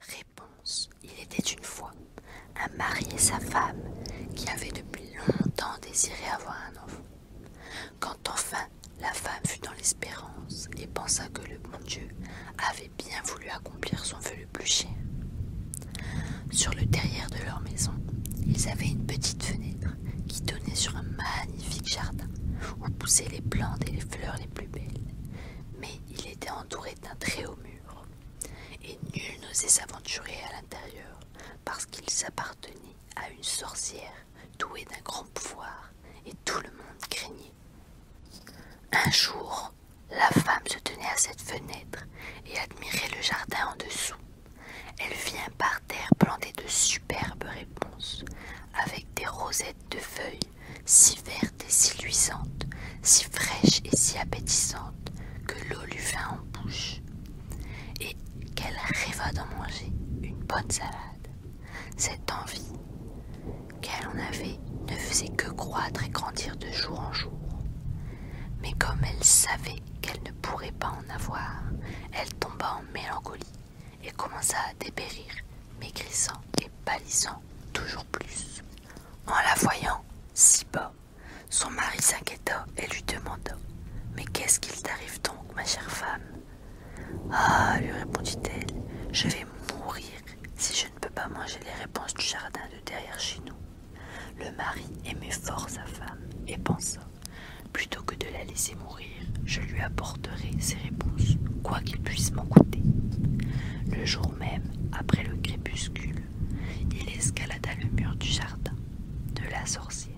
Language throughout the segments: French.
Réponse. Il était une fois un mari et sa femme qui avaient depuis longtemps désiré avoir un enfant. Quand enfin la femme fut dans l'espérance et pensa que le bon Dieu avait bien voulu accomplir son vœu le plus cher. Sur le derrière de leur maison, ils avaient une petite fenêtre qui donnait sur un magnifique jardin où poussaient les plantes et les fleurs les plus belles. Mais il était entouré d'un très haut mur, et nul n'osait s'aventurer à l'intérieur, parce qu'il s'appartenait à une sorcière douée d'un grand pouvoir, et tout le monde craignait. Un jour, la femme se tenait à cette fenêtre et admirait le jardin en dessous. Elle vit un parterre planté de superbes réponses, avec des rosettes de feuilles si verte et si luisante, si fraîche et si appétissante, que l'eau lui vint en bouche, et qu'elle rêva d'en manger une bonne salade. Cette envie qu'elle en avait ne faisait que croître et grandir de jour en jour. Mais comme elle savait qu'elle ne pourrait pas en avoir, elle tomba en mélancolie et commença à dépérir, maigrissant et pâlissant toujours plus. En la voyant si bas, son mari s'inquiéta et lui demanda Mais qu'est-ce qu'il t'arrive donc, ma chère femme Ah, lui répondit-elle, je vais mourir si je ne peux pas manger les réponses du jardin de derrière chez nous. Le mari aimait fort sa femme et pensa Plutôt que de la laisser mourir, je lui apporte ses réponses, quoi qu'il puisse m'en coûter. Le jour même, après le crépuscule, il escalada le mur du jardin de la sorcière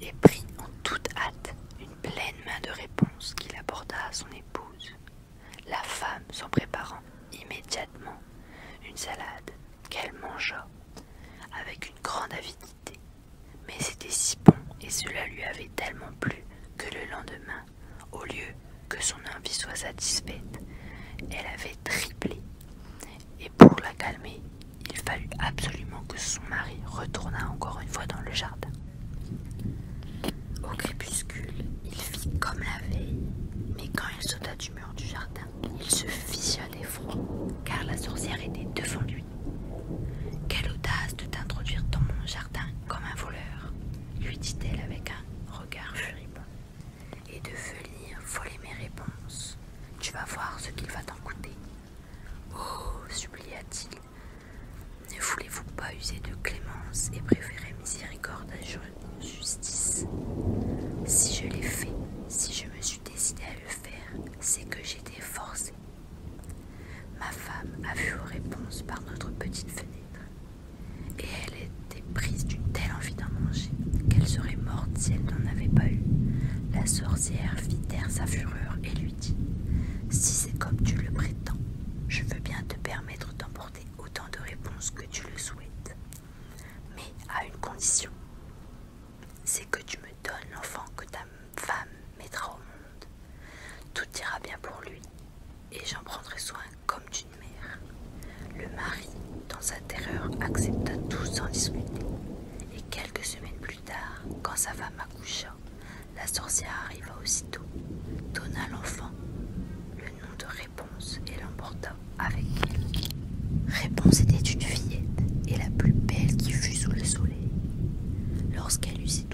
et prit en toute hâte une pleine main de réponses qu'il apporta à son épouse. La femme s'en préparant immédiatement une salade qu'elle mangea avec une grande avidité. Mais c'était si bon et cela lui avait tellement plu que le lendemain, au lieu que son envie soit satisfaite, elle avait triplé. Et pour la calmer, il fallut absolument que son mari retournât encore une fois dans le jardin. Au crépuscule, il fit comme la veille, mais quand il sauta du mur du jardin, il se fissa d'effroi, car la sorcière était devant lui. Quelle audace de t'introduire dans mon jardin comme un voleur, lui dit-elle avec un regard furibond, et de venir voler mes réponses. Tu vas voir ce qu'il va t'en coûter. Oh, supplia-t-il, ne voulez-vous pas user de clémence et préférer miséricorde à justice Si je l'ai fait, si je me suis décidé à le faire, c'est que j'étais forcé Ma femme a vu réponses par notre petite fenêtre, et elle était prise d'une telle envie d'en manger qu'elle serait morte si elle n'en avait pas eu. La sorcière fit taire sa fureur et lui dit Si c'est comme tu le prétends, je veux bien te permettre d'emporter autant de réponses que tu le souhaites, mais à une condition c'est que tu me donnes l'enfant que ta femme mettra au monde. Tout ira bien pour lui, et j'en prendrai soin comme d'une mère. Le mari, dans sa terreur, accepta tout sans discuter. Et quelques semaines plus tard, quand sa femme accoucha, la sorcière arriva aussitôt, donna l'enfant le nom de Réponse et l'emporta avec elle. Réponse était une fillette et la plus belle qui fut sous le soleil. Lorsqu'elle eut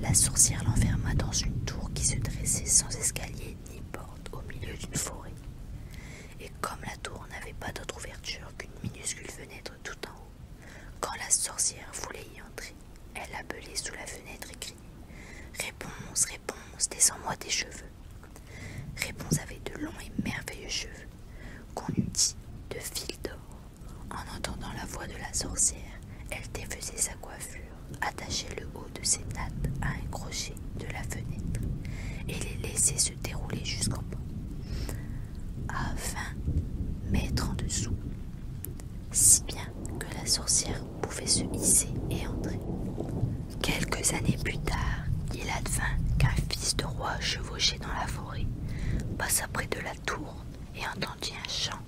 la sorcière l'enferma dans une tour qui se dressait sans escalier ni porte au milieu d'une forêt. Et comme la tour n'avait pas d'autre ouverture qu'une minuscule fenêtre tout en haut, quand la sorcière voulait y entrer, elle appelait sous la fenêtre et criait Réponse, réponse, descends-moi tes cheveux. Réponse avait de longs et merveilleux cheveux qu'on eût dit de fil d'or. En entendant la voix de la sorcière, elle défaisait sa coiffure, attachait le haut de ses nattes à un crochet de la fenêtre et les laissait se dérouler jusqu'en bas. afin mettre en dessous, si bien que la sorcière pouvait se hisser et entrer. Quelques années plus tard, il advint qu'un fils de roi chevauchait dans la forêt passa près de la tour et entendit un chant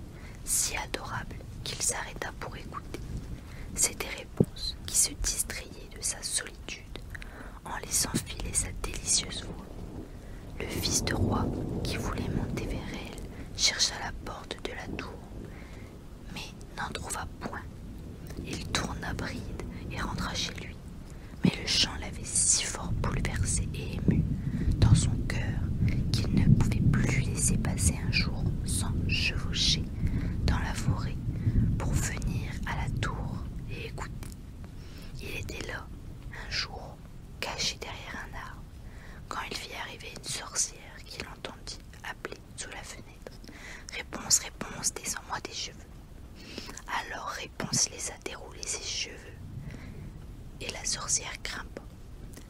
si adorable qu'il s'arrêta pour écouter. C'était Réponse qui se distrayait de sa solitude en laissant filer sa délicieuse voix. Le fils de roi, qui voulait monter vers elle, chercha la porte de la tour, mais n'en trouva point. Il tourna bride et rentra chez lui mais le chant l'avait si fort bouleversé et ému dans son cœur qu'il ne pouvait plus laisser passer un jour sans chevaucher dans la forêt pour venir à la tour et écouter. Il était là, un jour, caché derrière un arbre, quand il vit arriver une sorcière qui l'entendit appeler sous la fenêtre. Réponse, réponse, descends-moi des cheveux. Alors Réponse les dérouler ses cheveux, et la sorcière grimpa.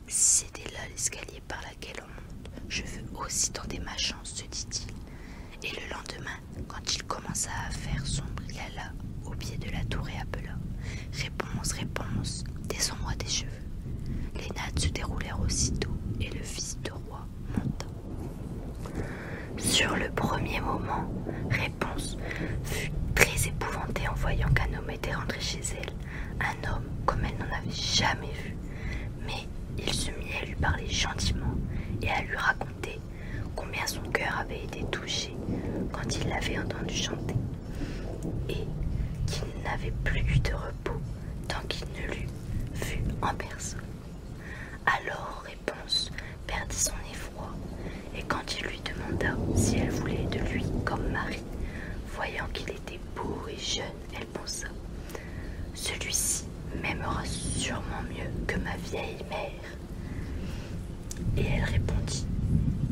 C'est c'était là l'escalier par laquelle on monte, je veux aussi tenter ma chance, se dit-il. Et le lendemain, quand il commença à faire son il au pied de la tour et appela Réponse, réponse, descends-moi des cheveux. Les nattes se déroulèrent aussitôt et le fils de roi monta. Sur le premier moment, Réponse fut très épouvantée en voyant qu'un homme était rentré chez elle, un homme comme elle n'en avait jamais vu. Mais il se mit à lui parler gentiment et à lui raconter combien son cœur avait été touché quand il l'avait entendu chanter, et qu'il n'avait plus eu de repos tant qu'il ne l'eût vu en personne. Alors perdit son effroi, et quand il lui demanda si elle voulait de lui comme mari, voyant qu'il était beau et jeune, elle pensa Celui-ci m'aimera sûrement mieux que ma vieille mère. Et elle répondit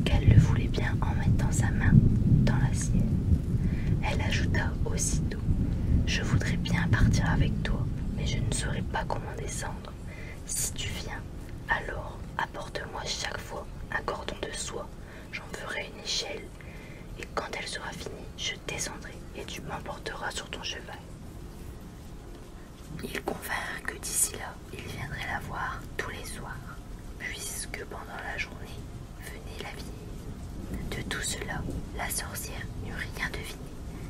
qu'elle le voulait bien en mettant sa main dans la sienne. Elle ajouta aussitôt Je voudrais bien partir avec toi, mais je ne saurais pas comment descendre. Si tu viens, alors apporte-moi chaque fois un cordon de soie, j'en ferai une échelle, et quand elle sera finie, je descendrai et tu m'emporteras sur ton cheval. Il convinrent que d'ici là, il viendrait la voir tous les soirs, puisque pendant la journée venait la vie. De tout cela, la sorcière n'eut rien deviné.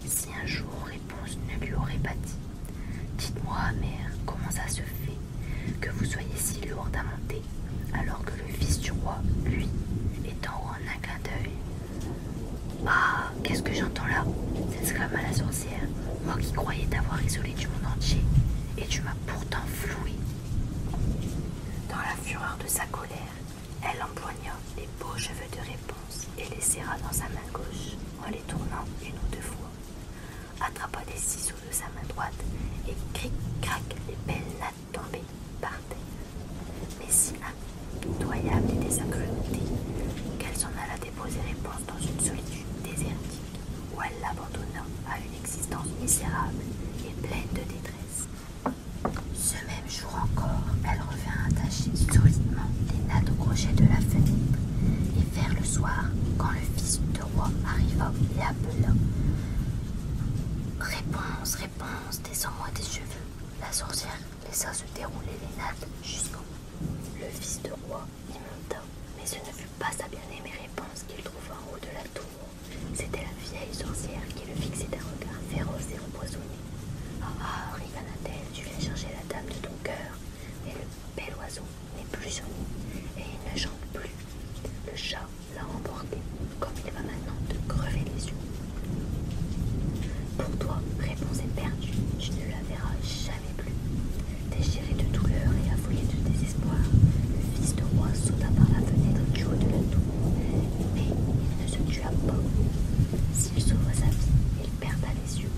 Si un jour réponse ne lui aurait pas dit Dites-moi, mère, comment ça se fait que vous soyez si lourde à monter, alors que le fils du roi, lui, est en haut en un clin d'œil Ah, qu'est-ce que j'entends là s'exclama la sorcière, moi qui croyais t'avoir isolé du monde entier, et tu m'as pourtant floué. Dans la fureur de sa colère, elle empoigna les beaux cheveux de réponse et les serra dans sa main gauche tournant une ou deux fois, attrapa des ciseaux de sa main droite et cric-crac les belles nattes tombées par terre. Mais si impitoyable et désaccrutée qu'elle s'en alla déposer les réponse dans une solitude désertique où elle l'abandonna à une existence misérable et pleine de détresse. Ce même jour encore, elle revint attacher solidement les nattes au crochet de la fenêtre. Et vers le soir, quand le fils de roi arriva, il appela Réponse, réponse, descends-moi des cheveux. La sorcière laissa se dérouler les nattes jusqu'au Le fils de roi y monta, mais ce ne fut pas sa bien-aimée réponse qu'il trouva en haut de la tour. C'était la vieille sorcière qui le fixait d'un regard féroce et empoisonné. Ah ah, tu viens chercher la dame de ton cœur. Et mais le bel oiseau n'est plus son et il ne chante plus. Le chat l'a emporté, comme il va maintenant te crever les yeux. Pour toi, réponse est perdue, tu ne la verras jamais plus. Déchiré de douleur et affolé de désespoir, le fils de roi sauta par la fenêtre du haut de la tour, mais il ne se tua pas. S'il sauva sa vie, il perda les yeux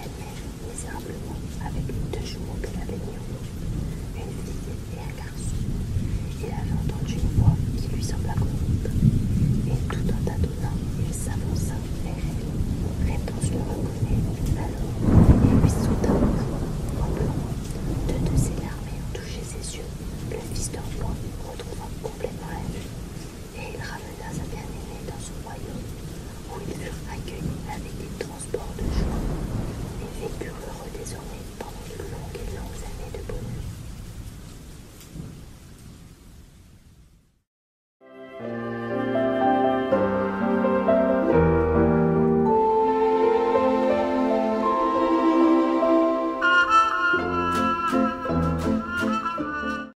elle naît misérablement avec deux jumeaux de avait mis en main, une fille et un garçon. Il avait entendu une voix qui lui sembla connue, et tout en tâtonnant, il s'avança vers elle. Réponse le reconnaît, alors et lui sauta En pleurant, deux de ses larmes ayant touché ses yeux, le fils point retrouva complètement elle et il ramena sa bien-aimée dans son royaume, où il furent accueillis avec des transports de joie, et vécurent heureux désormais pendant de longues et longues années de bonheur.